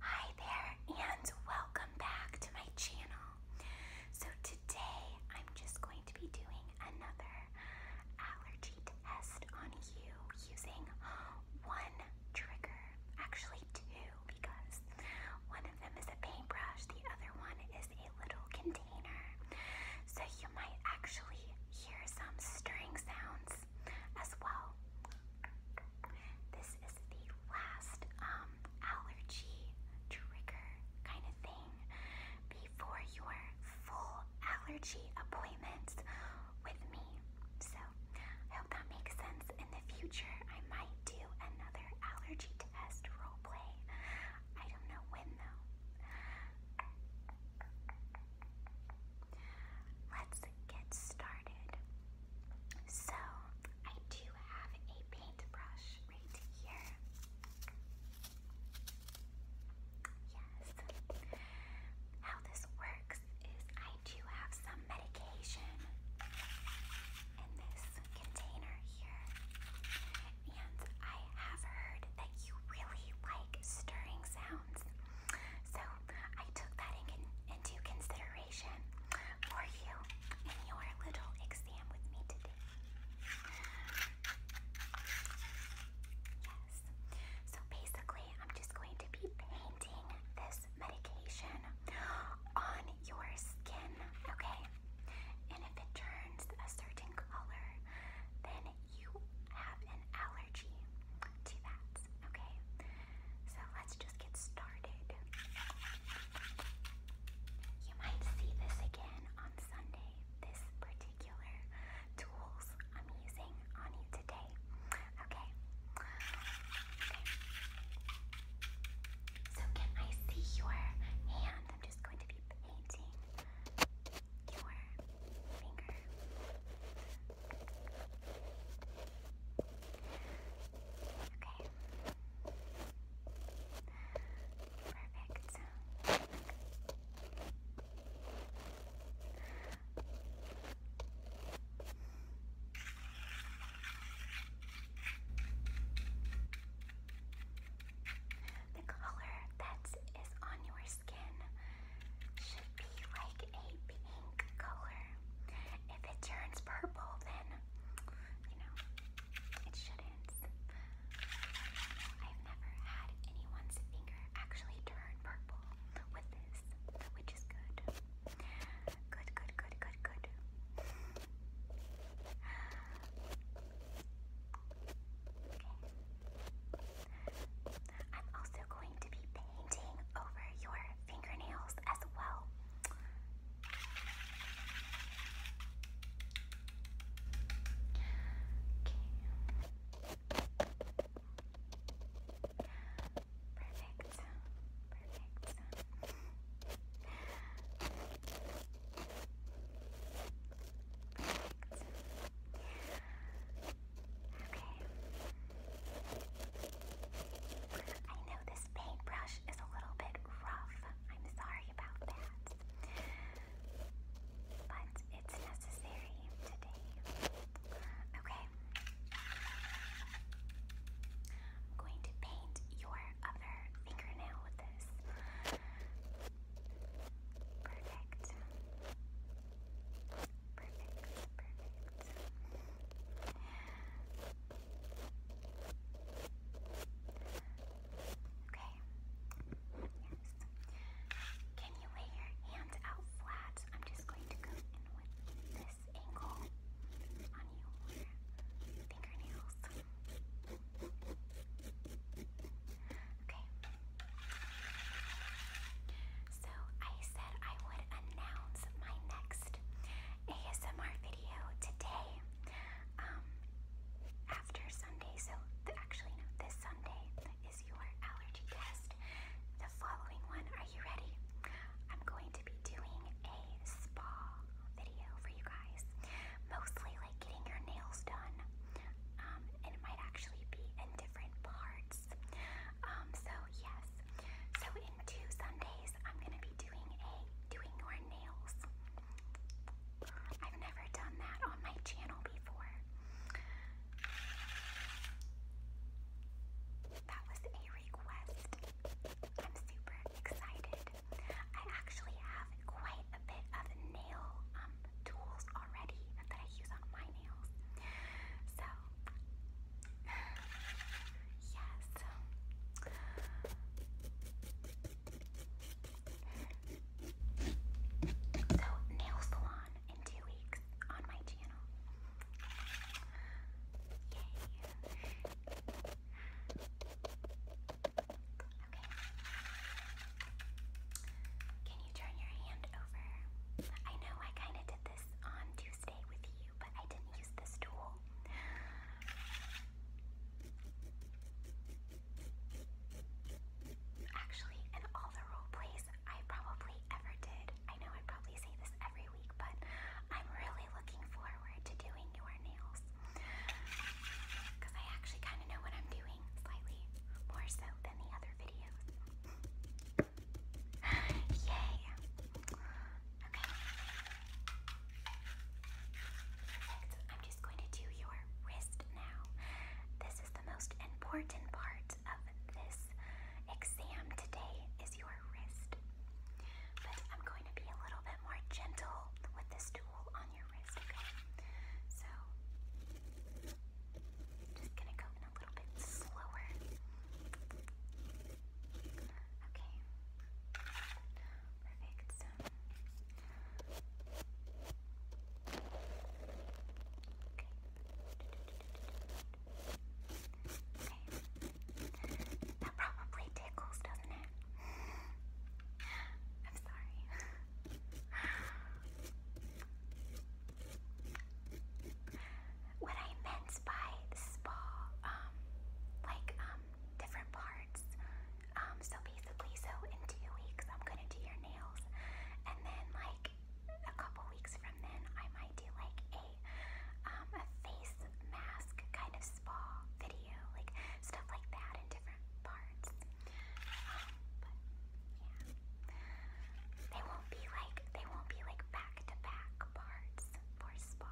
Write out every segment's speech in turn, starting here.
Hi there, and welcome back to my channel. So, today I'm just going to be doing another allergy test on you using one trigger. Actually, two, because one of them is a paintbrush, the other one is a little container. So, you might actually hear some stirring sounds as well. This is the last um, allergy trigger kind of thing before your full allergy appointments with me. So I hope that makes sense. In the future, I might do another allergy test roleplay. I don't know when though let's get started. So, I do have a paintbrush right here. Yes. How this works is I do have some medication in this container here. And I have heard that you really like stirring sounds. So I took that into consideration for you in your little exam with me today. Yes. So basically, I'm just going to be painting this medication on your skin, okay? And if it turns a certain color, then you have an allergy to that. Okay, so let's just get started. You might see this again on Sunday. This particular tools I'm using on you today. Okay. So can I see your hand? I'm just going to be painting your finger. Perfect. The color that is on your skin should be like a pink color. If it turns purple, then, you know, it shouldn't. I've never had anyone's finger actually turn purple with this, which is good. Good, good, good, good, good. I'm also going to be painting over your fingernails as well. Perfect. Perfect. I know this paintbrush is a little bit rough. I'm sorry about that. But it's necessary today. Okay. I'm going to paint your other fingernail with this. Perfect perfect, perfect. Okay. Yes. Can you lay your hands out flat? I'm just going to go in with this angle on your fingernails. Okay. So I said I would announce my next ASMR video today, um, after Sunday. So actually, this Sunday is your allergy test. The following one, are you ready? I'm going to be doing a spa video for you guys, mostly like getting your nails done. Um, and it might actually be in different parts um, so yes. So in two Sundays, I'm gonna be doing a doing your nails. I've never done that on my channel before. That was a request. I'm super excited. I actually have quite a bit of nail um, tools already that I use on my nails. So, yes. So, nail salon in two weeks on my channel. Yay. Okay turn your hand over. I know I kind of did this on Tuesday with you, but I didn't use this tool. Actually, in all the role plays I probably ever did, I know I probably say this every week, but I'm really looking forward to doing your nails. Because I actually kind of know what I'm doing, slightly more so than the other other videos. Yay! Okay. Perfect. I'm just going to do your wrist now. This is the most important part of this exam today is your wrist. But I'm going to be a little bit more gentle with this tool on your wrist, okay? So just gonna go in a little bit slower. Okay. Perfect. Okay. Okay. That probably tickles, doesn't it? I'm sorry. What I meant by spa, um, like um, different parts. Um, so basically, so in two weeks I'm gonna do your nails, and then like a couple weeks from then I might do like a um, a face mask kind of spa video, like stuff like that in different parts cards. Um, they won't be like they won't be like back to back parts for spa,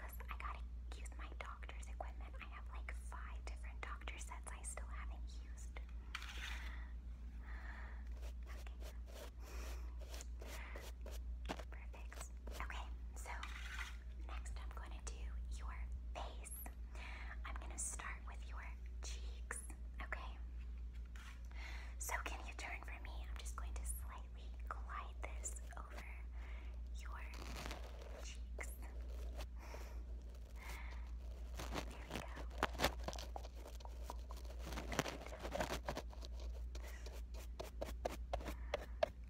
cause I gotta use my doctor's equipment. I have like five different doctor sets I still haven't used. Perfect. Okay, so next I'm going to do your face. I'm going to start with your cheeks, okay? So, can you turn for me? I'm just going to slightly glide this over your cheeks. There we go.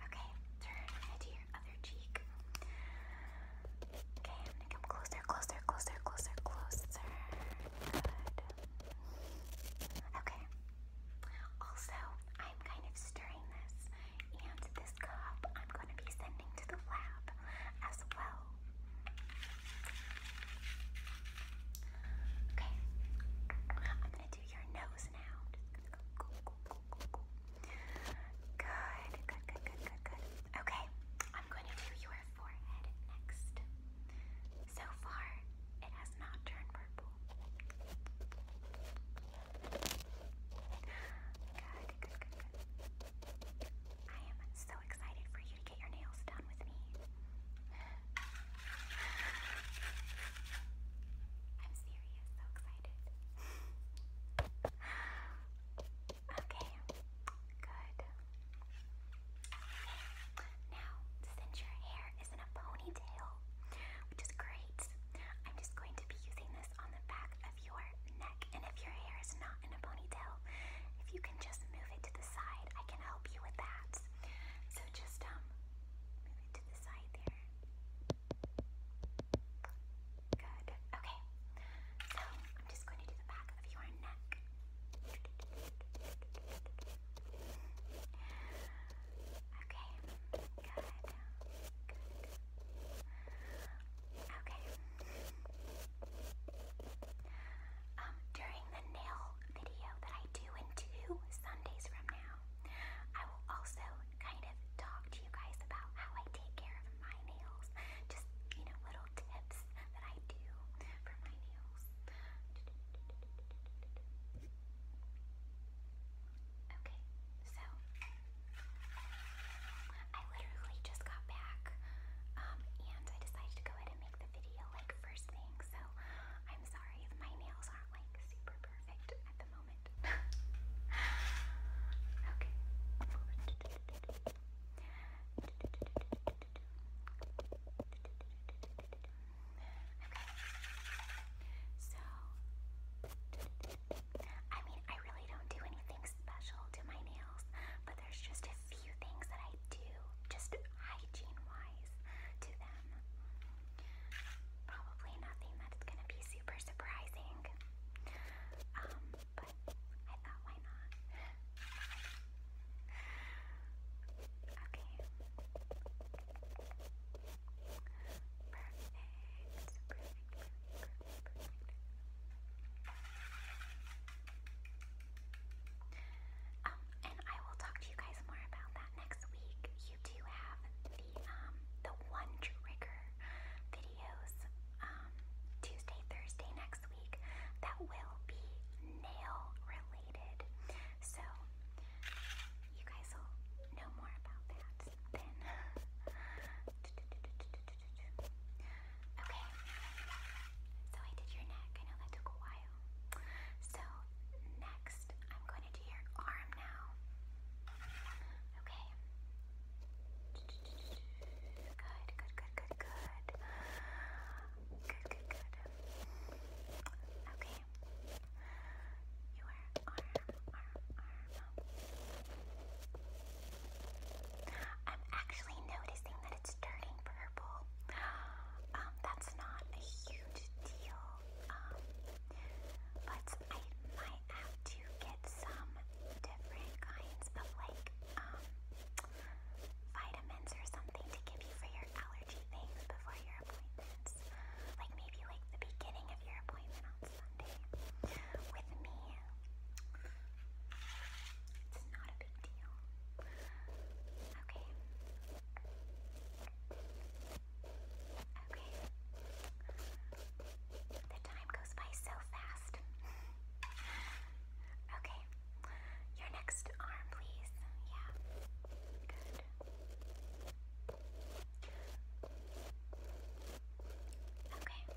Okay, turn into your other cheek. Okay, I'm gonna come closer, closer, closer, closer, closer. Okay. Also, I'm kind of stirring this, and this cup I'm gonna be sending to the lab as well. Okay. I'm gonna do your nose now. good, good, good, good, good. Okay, I'm going to do your forehead next. So far, it has not turned purple. Good, good, good, good. I am so excited for you to get your nails done with me. I'm serious, so excited. Okay, good. Now, since your hair is in a ponytail, which is great, I'm just going to be using this on the back of your neck. And if your hair is not in a ponytail, if you can just move it to the side, I can help you with that. So just um move it to the side there. Good. Okay. So I'm just going to do the back of your neck. Okay. Good. Okay. Um, during the nail video that I do in two Sundays from now, I will also kind of talk to you guys about how I take care of my nails. Just, you know, little tips that I do for my nails. Okay, so I literally just got back um, and I decided to go ahead and make the video like first thing. So I'm sorry if my nails aren't like super perfect at the moment moment. okay. Okay. So, I mean, I really don't do anything special to my nails, but there's just a few things that I do, just hygiene wise, to them. Probably nothing that's gonna be um, um, and I will talk to you guys more about that next week. You do have the um, the one trigger video um, Tuesday, Thursday next week that will be nail related. So you guys will know more about that then. Okay, so I did your neck. I know that took a while. So next, I'm going to do your arm now. Okay. Good, good, good, good, good. Good, good, good. Okay. Your arm, arm, arm. Um, I'm actually noticing that it's turning purple. Um, that's not a huge deal. Um, but I might have to get get some different kinds of like um, vitamins or something to give you for your allergy things before your appointments. Like maybe like the beginning of your appointment on Sunday. With me, it's not a big deal. Okay. Okay. The time goes by so fast. okay. Your next arm, please. Yeah. Good. Okay.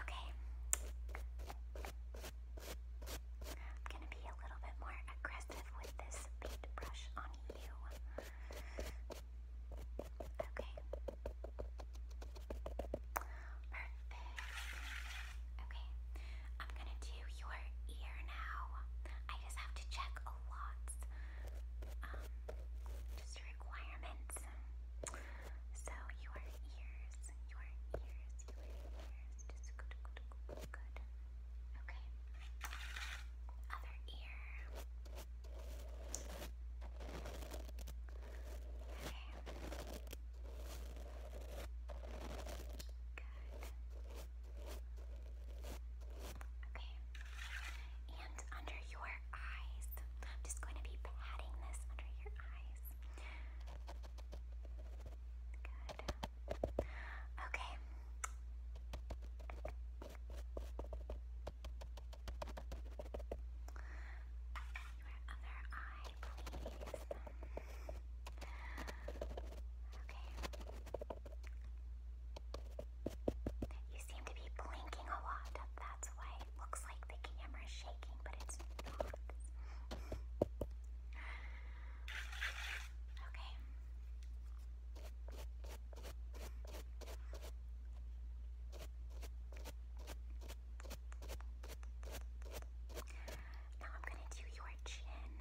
Okay. I'm gonna be a little bit more aggressive with this paintbrush on you. Okay. Perfect. Okay. I'm gonna do your ear now. I just have to check a lot. Um, just requirements. So your ears, your ears, your ears, just good, good, good, good. Okay. Other ear. Okay. Good. Okay. And under your your eyes. I'm just going to be patting this under your eyes. Good. Okay. Your other eye, please. Okay. You seem to be blinking a lot. That's why it looks like the camera is shaking, but it's not. okay. Now I'm going to do your chin.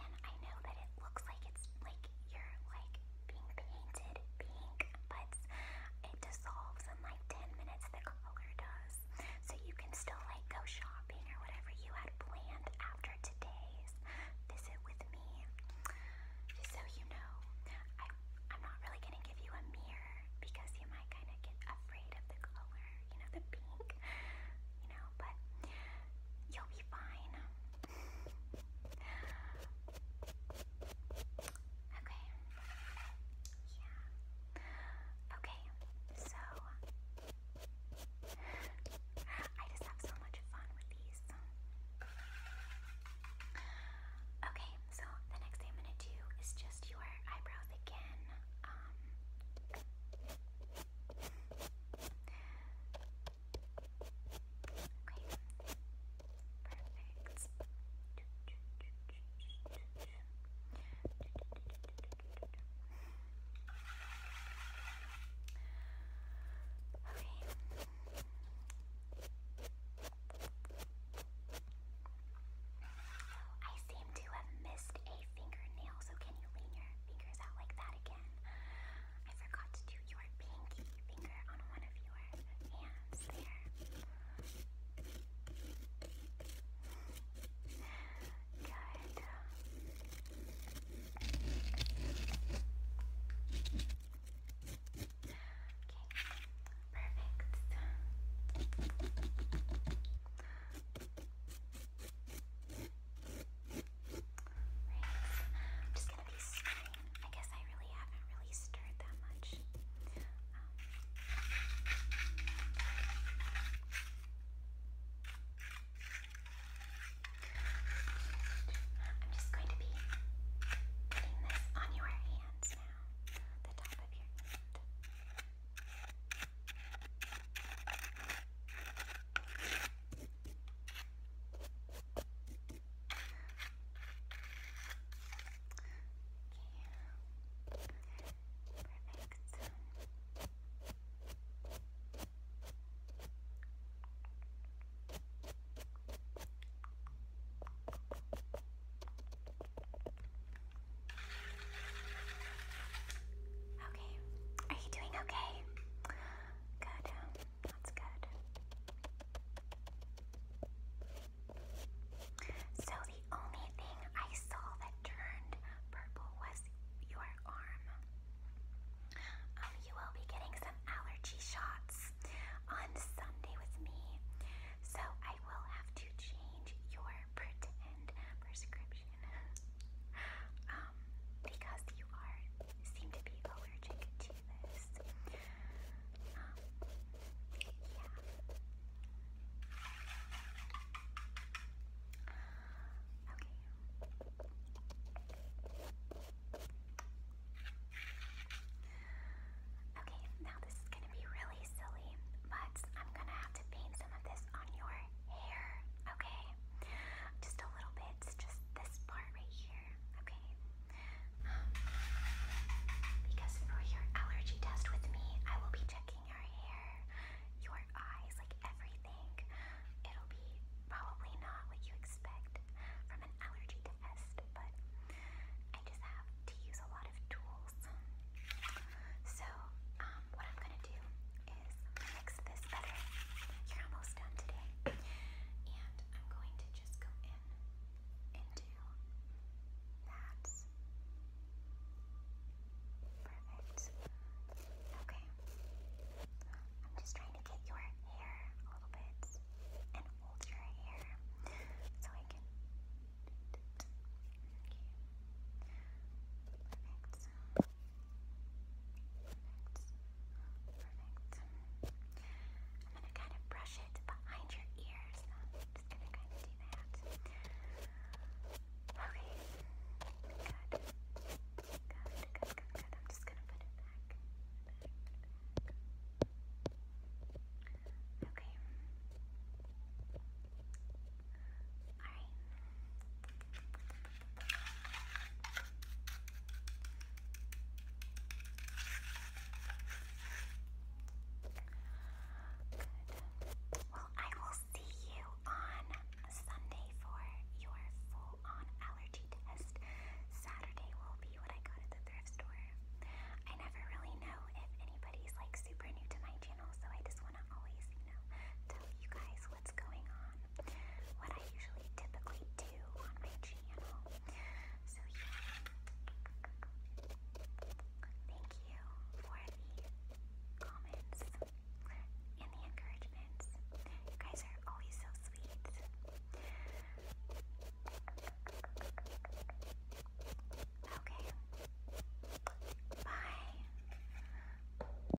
And I know that it looks like it's like you're like being painted pink, but it dissolves in like 10 minutes, the color does. So you can still like go shopping or whatever you had planned after today's visit with me. Just so you know, I, I'm not really going to give you a mirror because you might kind of get afraid of the color, you know, the pink, you know, but you'll be fine. Okay. Yeah. Okay, so I just have so much fun with these. Okay, so the next thing I'm gonna do is just your eyebrows again. Um Perfect. Okay. I seem to have missed a fingernail, so can you lean your fingers out like that again? I forgot to do your pinky finger on one of your hands there. Good. Okay, perfect. I'm just gonna be stirring. I guess I really haven't really stirred that much. Um, I'm just going to be putting this on your hands now, the top of your hand. Okay, are you doing okay? Good. Um, that's good. So the only thing I saw that turned purple was your arm. Um, you will be getting some allergy shots on Sunday with me. So I will have to change your pretend prescription. Um, because you are seem to be allergic to this. yeah. Um, okay. Okay, now this is gonna be really silly, but I'm gonna have to paint some of this on your hair, okay? Just a little bit just this part right here, okay? Um, because for your allergy test with me, I will be checking your hair, your eyes, like everything. It'll be probably not what you expect from an allergy test, but I just have to use a lot of tools. So, um, what I'm gonna do is You're almost done today. And I'm going to just go in and that. Perfect. Okay. I'm just trying to get your hair a little bit and hold your hair so I can. Perfect. I'm going to kind of brush it behind your ears. I'm just going to kind of do that. Okay. Good. Good, good, good, good. I'm just going to put it back. Okay. Alright. Good. Well, I will see you on Sunday for your full on allergy test. Saturday will be what I got at the thrift store. I never really know if anybody's like super new to my channel, so I just want to always, you know, tell you guys what's going on, what I usually typically do on my channel. So, yeah. Thank you for the comments and the encouragements. You guys are always so sweet. Okay. Bye.